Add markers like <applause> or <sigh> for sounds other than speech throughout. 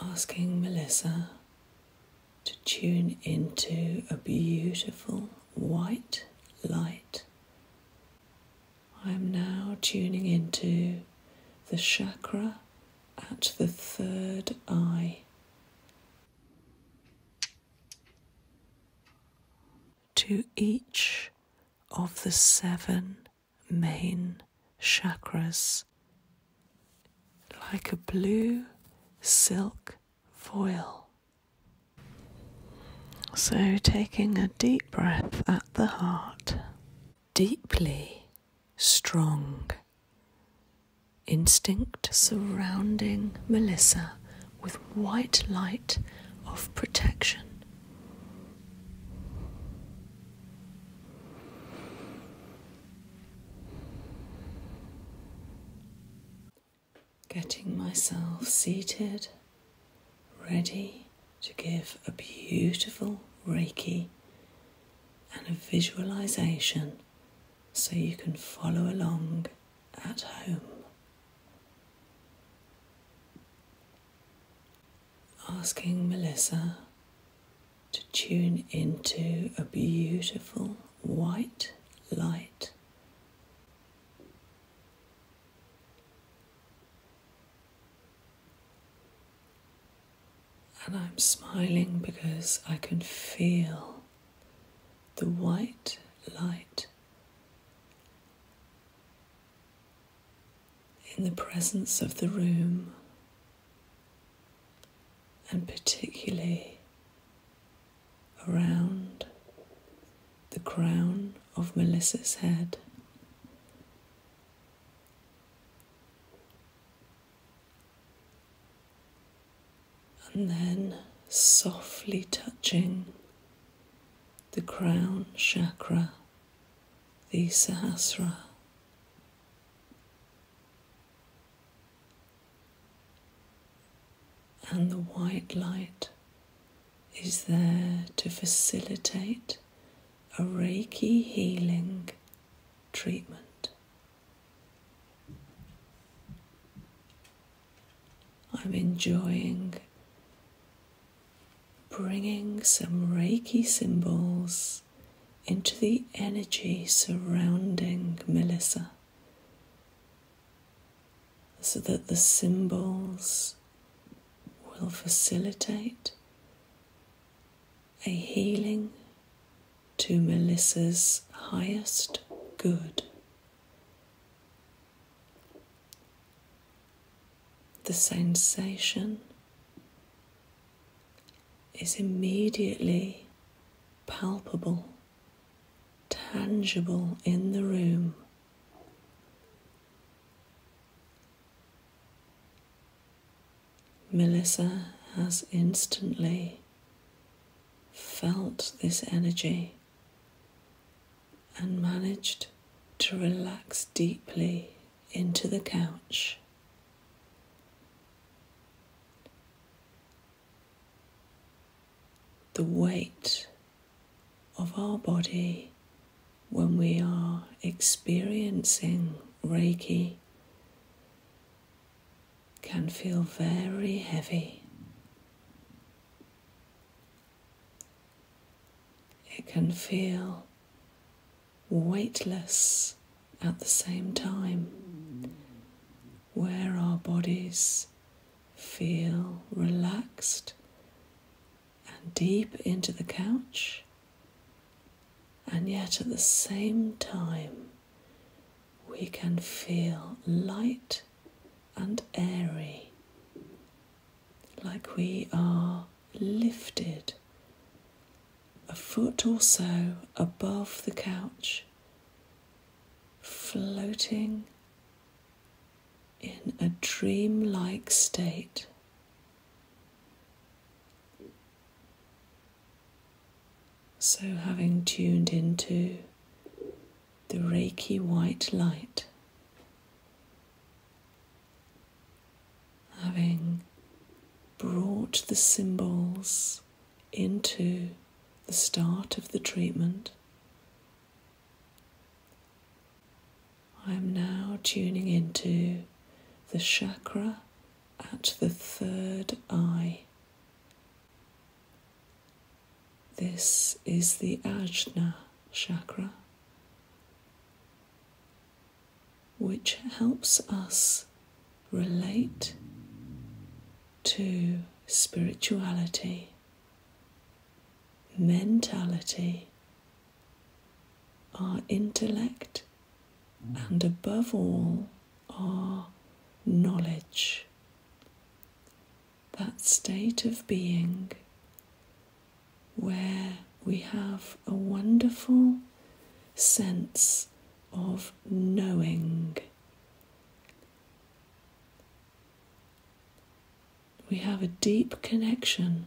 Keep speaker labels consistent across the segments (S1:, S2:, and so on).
S1: asking Melissa to tune into a beautiful white light. I'm now tuning into the chakra at the third eye. To each of the seven main chakras like a blue silk foil. So, taking a deep breath at the heart, deeply strong instinct surrounding Melissa with white light of protection. Getting myself seated, ready to give a beautiful Reiki and a visualization so you can follow along at home asking Melissa to tune into a beautiful white light. And I'm smiling because I can feel the white light in the presence of the room and particularly around the crown of Melissa's head. And then softly touching the crown chakra, the Sahasra. And the white light is there to facilitate a Reiki healing treatment. I'm enjoying bringing some Reiki symbols into the energy surrounding Melissa so that the symbols will facilitate a healing to Melissa's highest good. The sensation is immediately palpable, tangible in the room. Melissa has instantly felt this energy and managed to relax deeply into the couch the weight of our body when we are experiencing Reiki can feel very heavy. It can feel weightless at the same time, where our bodies feel relaxed and deep into the couch, and yet at the same time, we can feel light and airy, like we are lifted a foot or so above the couch, floating in a dreamlike state. So, having tuned into the Reiki white light, having brought the symbols into the start of the treatment, I am now tuning into the chakra at the third eye. This is the Ajna chakra which helps us relate to spirituality, mentality, our intellect, and above all, our knowledge. That state of being where we have a wonderful sense of knowing. We have a deep connection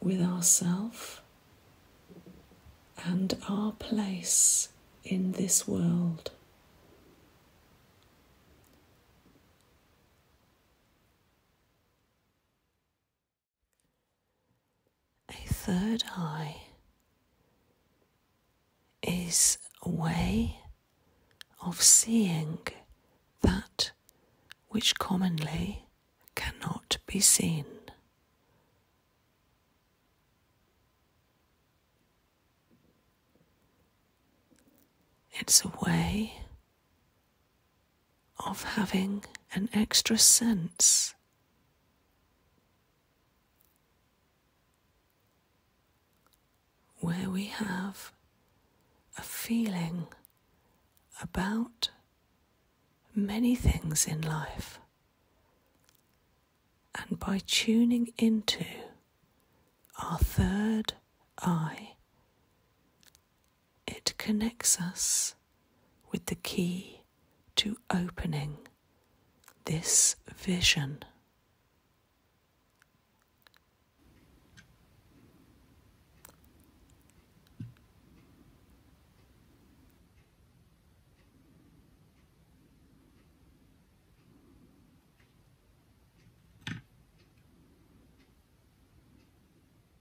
S1: with ourself and our place in this world. A third eye is a way of seeing that which commonly cannot be seen. It's a way of having an extra sense where we have a feeling about many things in life. And by tuning into our third eye, it connects us with the key to opening this vision.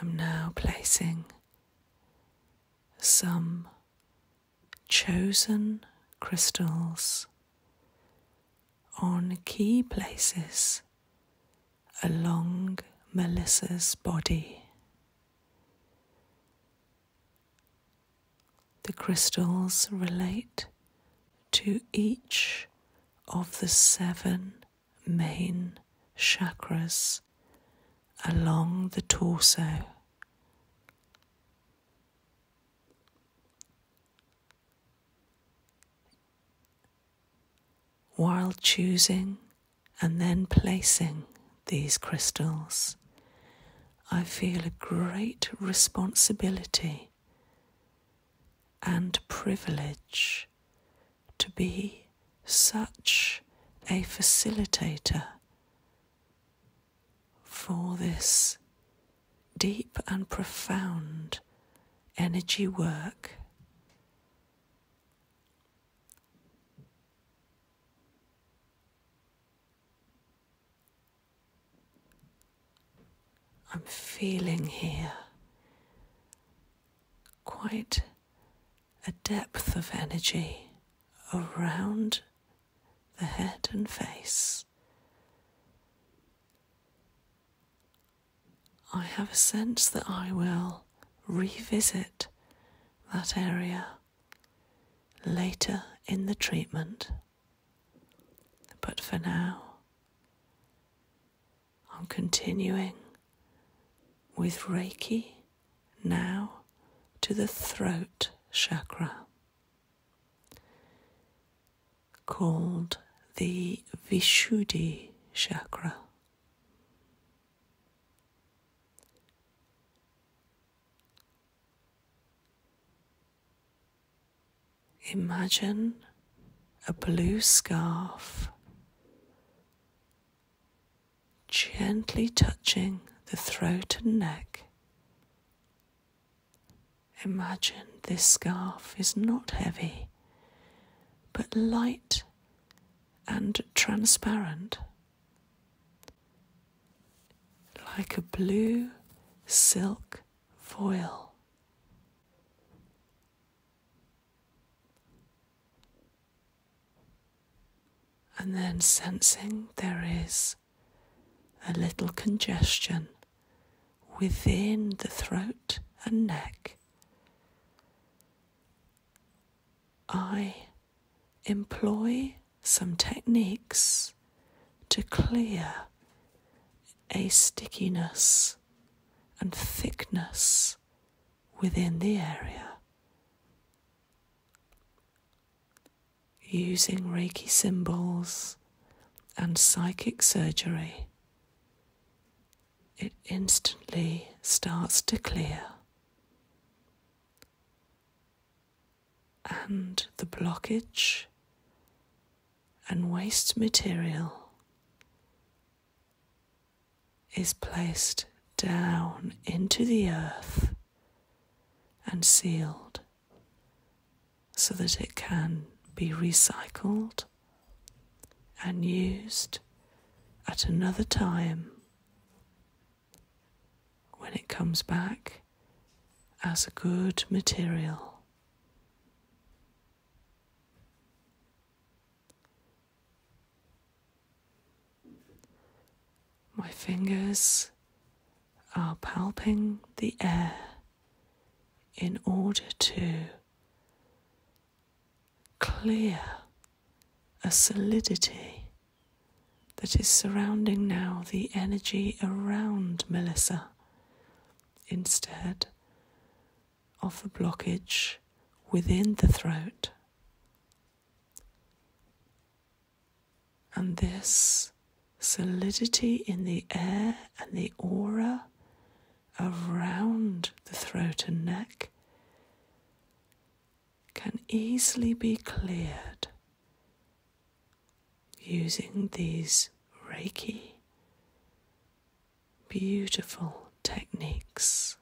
S1: I'm now placing some chosen crystals on key places along Melissa's body. The crystals relate to each of the seven main chakras along the torso. While choosing and then placing these crystals, I feel a great responsibility and privilege to be such a facilitator for this deep and profound energy work. I'm feeling here quite a depth of energy around the head and face. I have a sense that I will revisit that area later in the treatment. But for now, I'm continuing with Reiki now to the throat chakra, called the Vishuddhi chakra. Imagine a blue scarf gently touching the throat and neck. Imagine this scarf is not heavy, but light and transparent like a blue silk foil. And then sensing there is a little congestion within the throat and neck, I employ some techniques to clear a stickiness and thickness within the area. Using Reiki symbols and psychic surgery, it instantly starts to clear and the blockage and waste material is placed down into the earth and sealed so that it can be recycled and used at another time when it comes back as a good material. My fingers are palping the air in order to clear a solidity that is surrounding now the energy around Melissa instead of the blockage within the throat. And this solidity in the air and the aura around the throat and neck can easily be cleared using these Reiki beautiful techniques.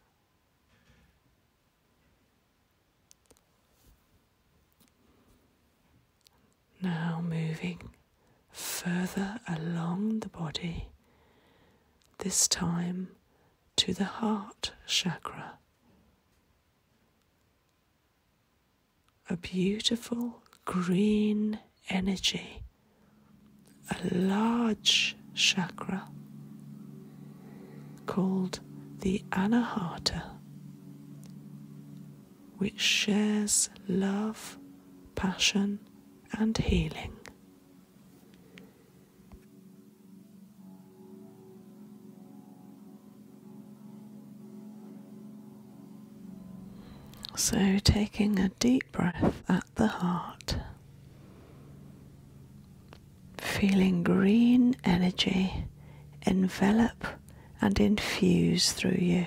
S1: Now moving further along the body, this time to the heart chakra a beautiful green energy, a large chakra called the Anahata, which shares love, passion, and healing. So, taking a deep breath at the heart, feeling green energy envelop and infuse through you.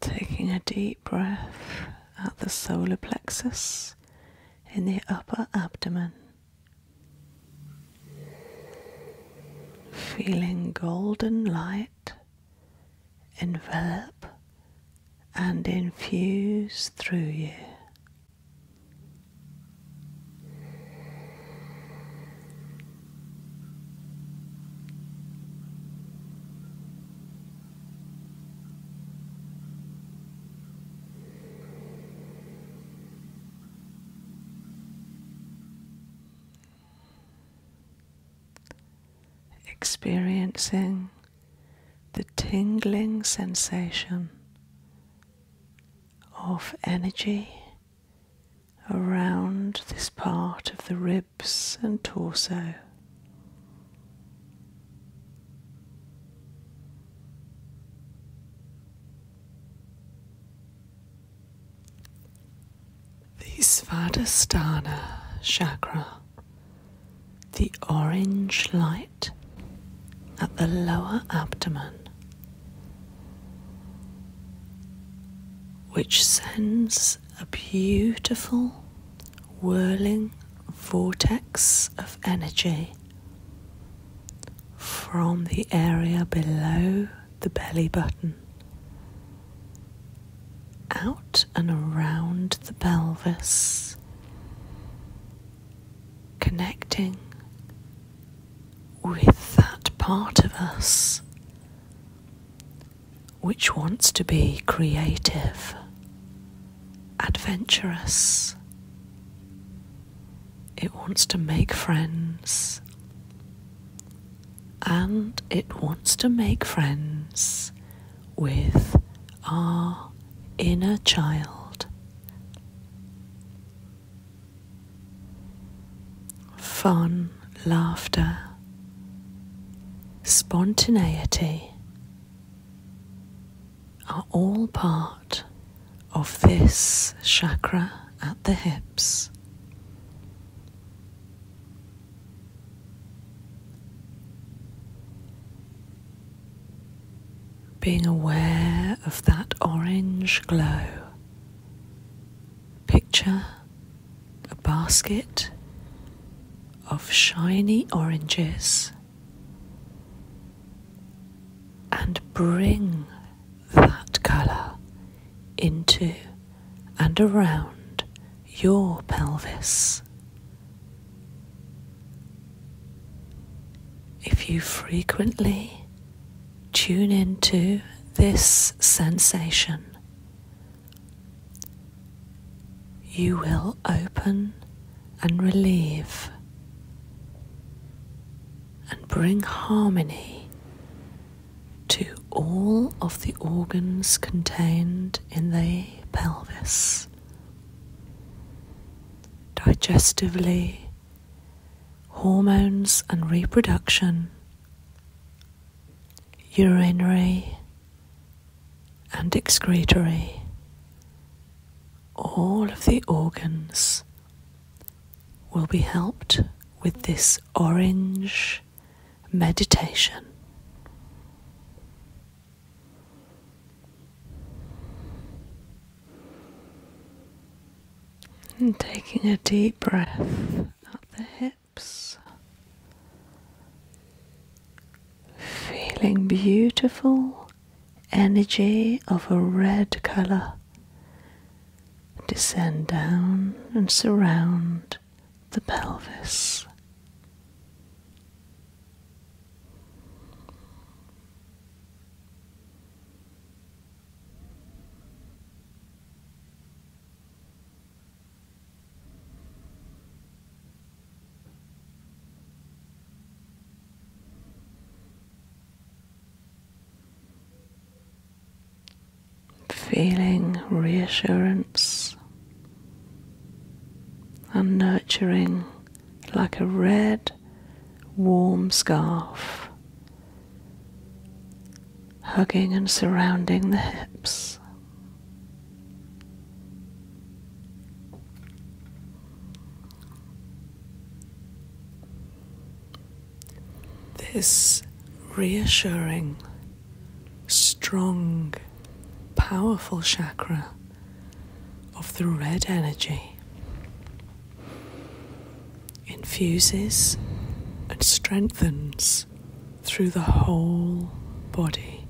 S1: Taking a deep breath at the solar plexus in the upper abdomen. Feeling golden light envelop and infuse through you. Experiencing the tingling sensation of energy around this part of the rib and torso. The Svadhisthana chakra, the orange light at the lower abdomen, which sends a beautiful whirling vortex of energy from the area below the belly button out and around the pelvis, connecting with that part of us which wants to be creative, adventurous. It wants to make friends. And it wants to make friends with our inner child fun, laughter, spontaneity are all part of this chakra at the hips. Being aware of that orange glow Picture a basket of shiny oranges and bring that colour into and around your pelvis. If you frequently tune into this sensation, you will open and relieve and bring harmony to all of the organs contained in the pelvis, digestively, hormones and reproduction, urinary and excretory, all of the organs will be helped with this orange meditation. And taking a deep breath up the hip feeling beautiful energy of a red color descend down and surround the pelvis. Feeling reassurance and nurturing like a red warm scarf hugging and surrounding the hips. This reassuring, strong, powerful chakra of the red energy infuses and strengthens through the whole body.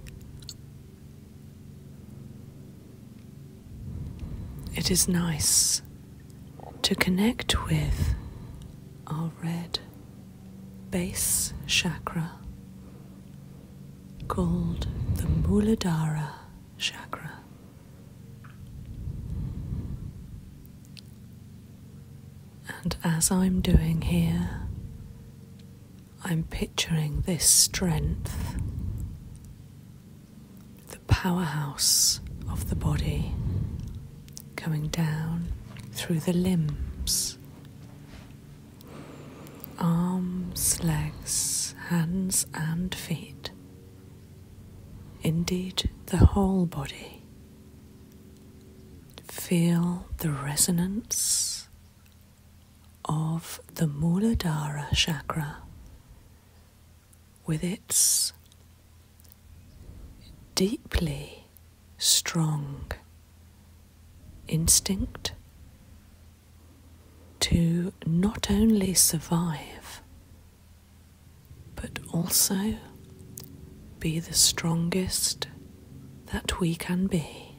S1: It is nice to connect with our red base chakra called the Muladhara chakra. And as I'm doing here, I'm picturing this strength, the powerhouse of the body, coming down through the limbs, arms, legs, hands, and feet. Indeed, the whole body Feel the resonance of the Muladhara chakra with its deeply strong instinct to not only survive but also be the strongest that we can be.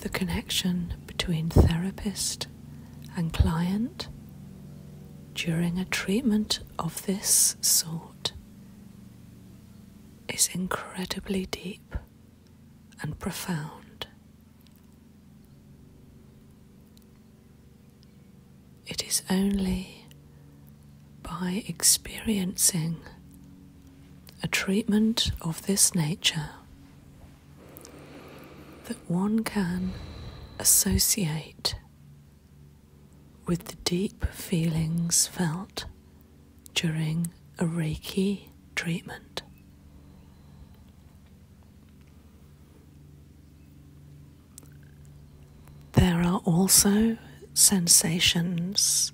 S1: The connection between therapist and client during a treatment of this sort is incredibly deep and profound. It is only by experiencing a treatment of this nature that one can associate with the deep feelings felt during a Reiki treatment. There are also sensations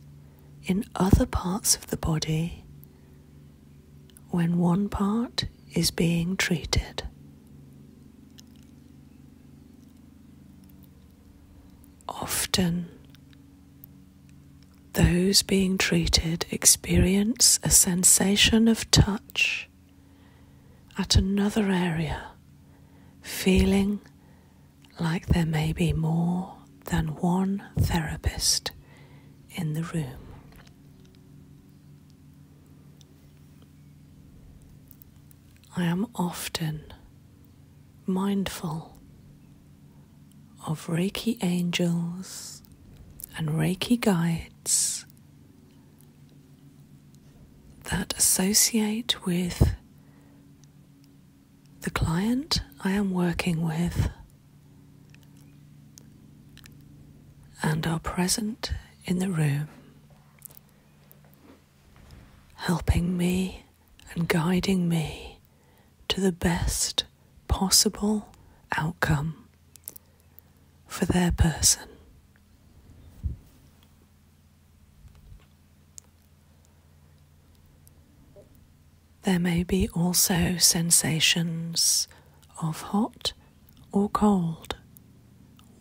S1: in other parts of the body when one part is being treated. Often those being treated experience a sensation of touch at another area, feeling like there may be more than one therapist in the room. I am often mindful of Reiki angels and Reiki guides that associate with the client I am working with and are present in the room, helping me and guiding me to the best possible outcome for their person. There may be also sensations of hot or cold,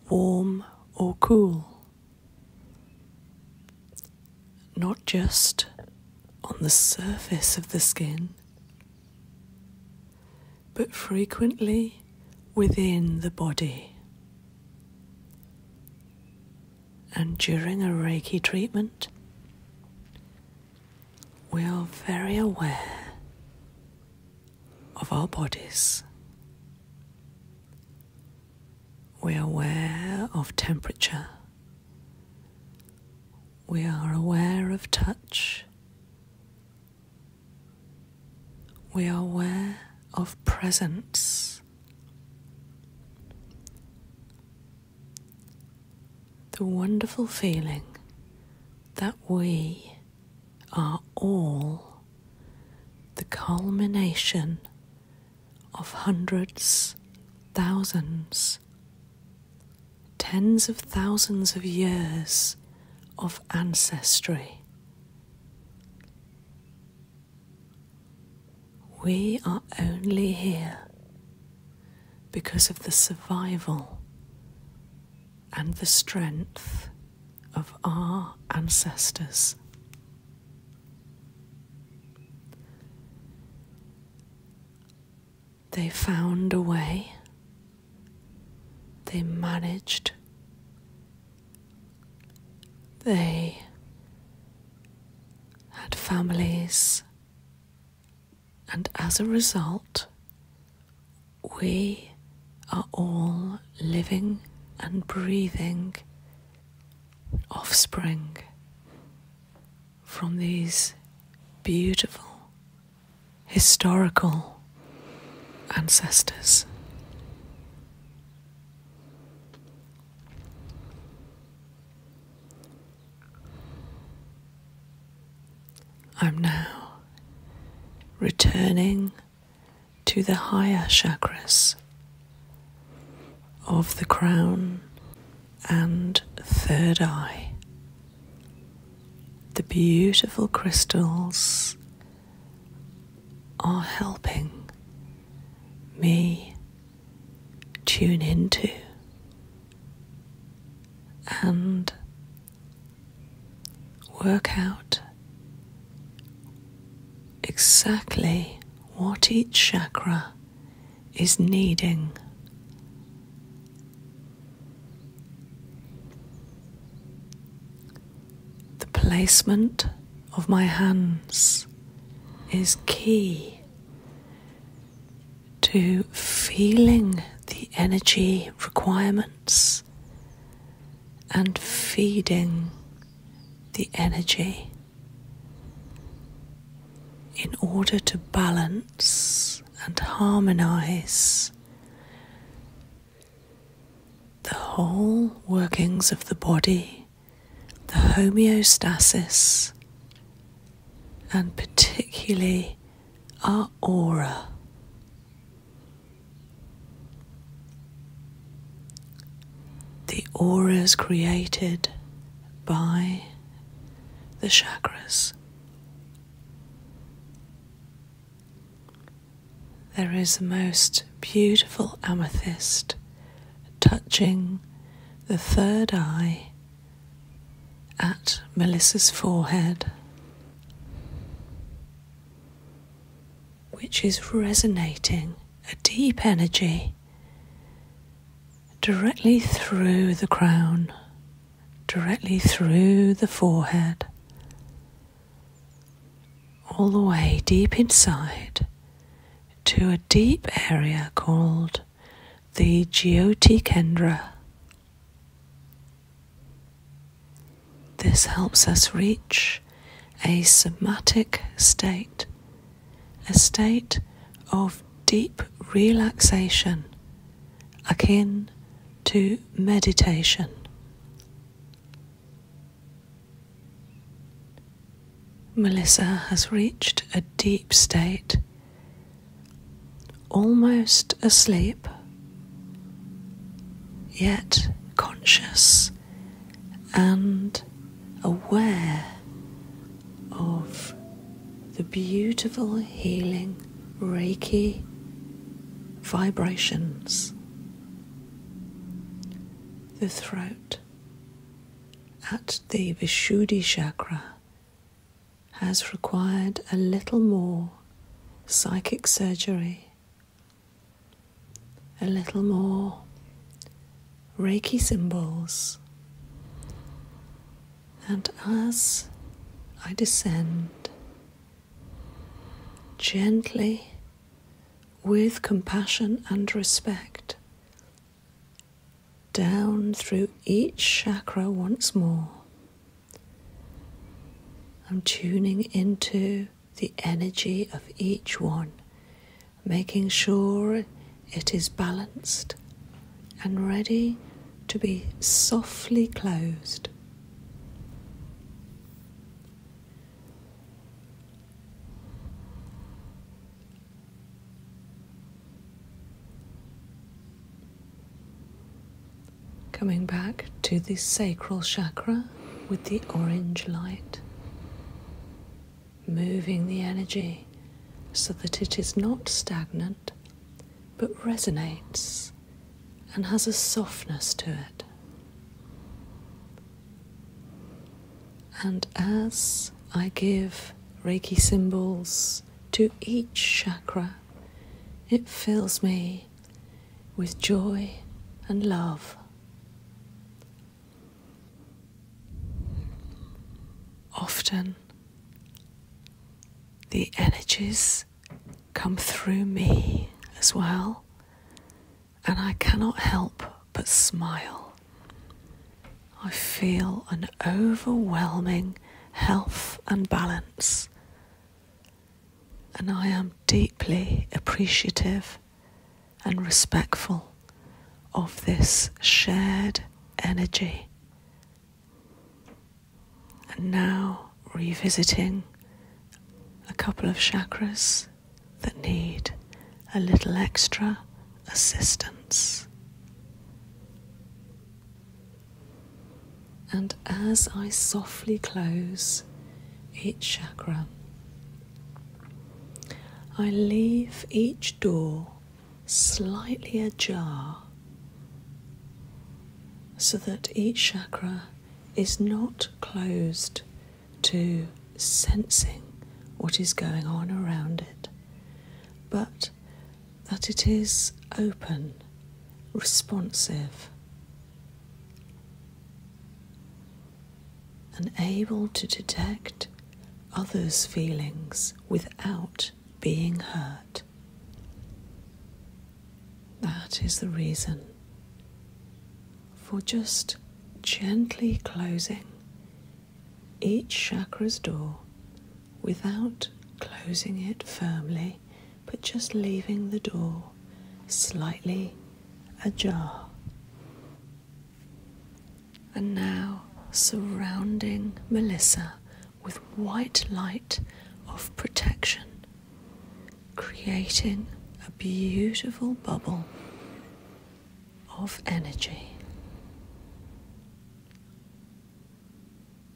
S1: warm or cool, not just on the surface of the skin, but frequently within the body. And during a Reiki treatment, we are very aware of our bodies. We are aware of temperature. We are aware of touch. We are aware of presence. The wonderful feeling that we are all the culmination of hundreds, thousands, tens of thousands of years of ancestry. We are only here because of the survival and the strength of our ancestors. They found a way. They managed. They had families. And as a result, we are all living and breathing offspring from these beautiful historical ancestors. I'm now returning to the higher chakras of the crown and third eye. The beautiful crystals are helping me tune into and work out exactly what each chakra is needing. The placement of my hands is key to feeling the energy requirements and feeding the energy in order to balance and harmonize the whole workings of the body, the homeostasis, and particularly our aura. The auras created by the chakras. There is a most beautiful amethyst touching the third eye at Melissa's forehead, which is resonating a deep energy directly through the crown, directly through the forehead, all the way deep inside to a deep area called the Geotikendra. This helps us reach a somatic state a state of deep relaxation akin to meditation. Melissa has reached a deep state, almost asleep, yet conscious and aware of the beautiful healing Reiki vibrations. The throat at the Vishuddi chakra has required a little more psychic surgery, a little more Reiki symbols. And as I descend, gently, with compassion and respect, down through each chakra once more, I'm tuning into the energy of each one making sure it is balanced and ready to be softly closed. Coming back to the sacral chakra with the orange light moving the energy so that it is not stagnant but resonates and has a softness to it. And as I give Reiki symbols to each chakra, it fills me with joy and love Often the energies come through me as well, and I cannot help but smile. I feel an overwhelming health and balance, and I am deeply appreciative and respectful of this shared energy. And now revisiting a couple of chakras that need a little extra assistance. And as I softly close each chakra, I leave each door slightly ajar so that each chakra is not closed to sensing what is going on around it, but that it is open, responsive, and able to detect others' feelings without being hurt. That is the reason for just gently closing each chakra's door without closing it firmly, but just leaving the door slightly ajar and now surrounding Melissa with white light of protection, creating a beautiful bubble of energy.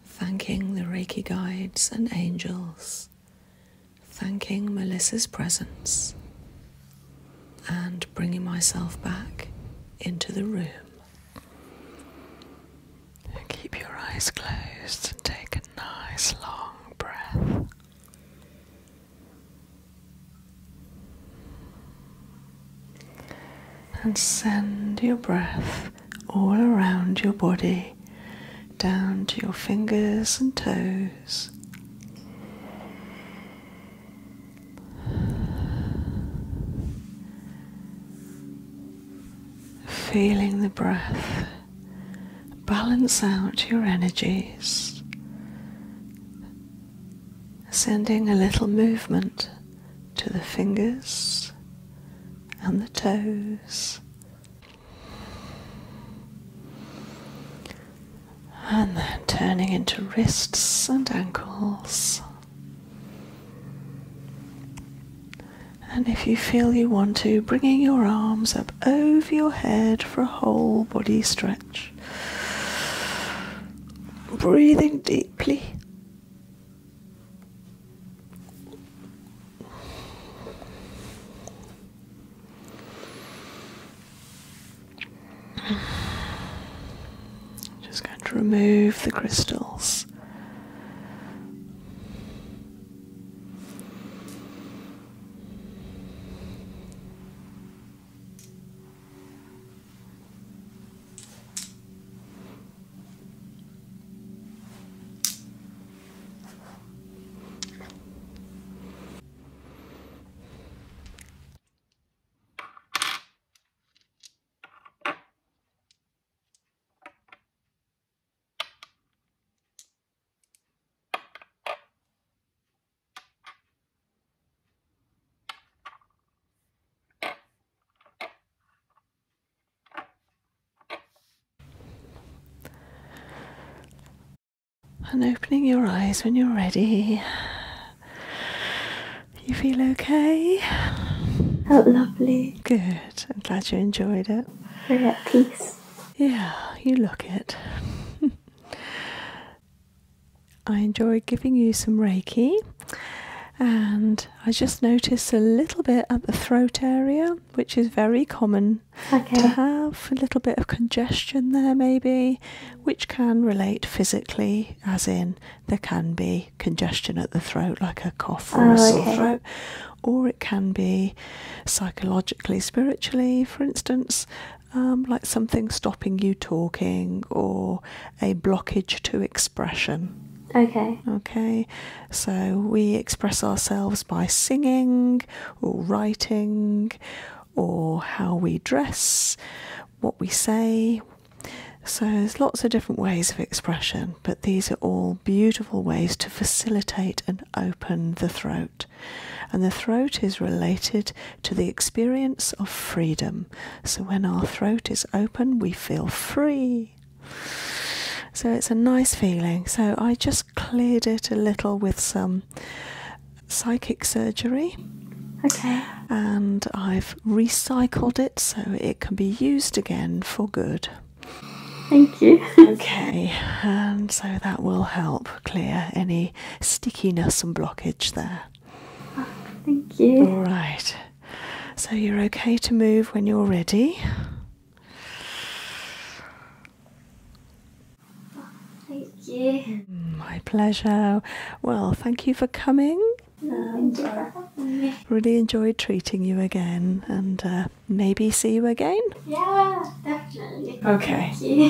S1: Thanking the Reiki guides and angels, thanking Melissa's presence, and bringing myself back into the room. And keep your eyes closed and take a nice long breath. And send your breath all around your body, down to your fingers and toes. Feeling the breath balance out your energies, sending a little movement to the fingers and the toes and then turning into wrists and ankles. And if you feel you want to, bringing your arms up over your head for a whole body stretch. Breathing deeply. <sighs> Just going to remove the crystals. And opening your eyes when you're ready you feel okay? How lovely. Good. I'm glad you enjoyed it. We're at peace. Yeah, you look it. <laughs> I enjoyed giving you some Reiki, and I just noticed a little bit at the throat area, which is very common to have. A little bit of congestion there, maybe which can relate physically, as in there can be congestion at the throat, like a cough or a oh, sore throat, or it can be psychologically, spiritually, for instance. Um, like something stopping you talking or a blockage to expression. Okay. Okay. So we express ourselves by singing or writing or how we dress what we say. So there's lots of different ways of expression, but these are all beautiful ways to facilitate and open the throat. And the throat is related to the experience of freedom. So when our throat is open, we feel free. So it's a nice feeling. So I just cleared it a little with some psychic surgery. Okay. And I've recycled it so it can be used again for good. Thank you. okay, and so that will help clear any stickiness and blockage there. Ah, thank you. All right. So you're okay to move when you're ready. Thank you. My pleasure. Well, thank you for coming. No, really enjoyed treating you again and uh, maybe see you again. Yeah, definitely. Okay.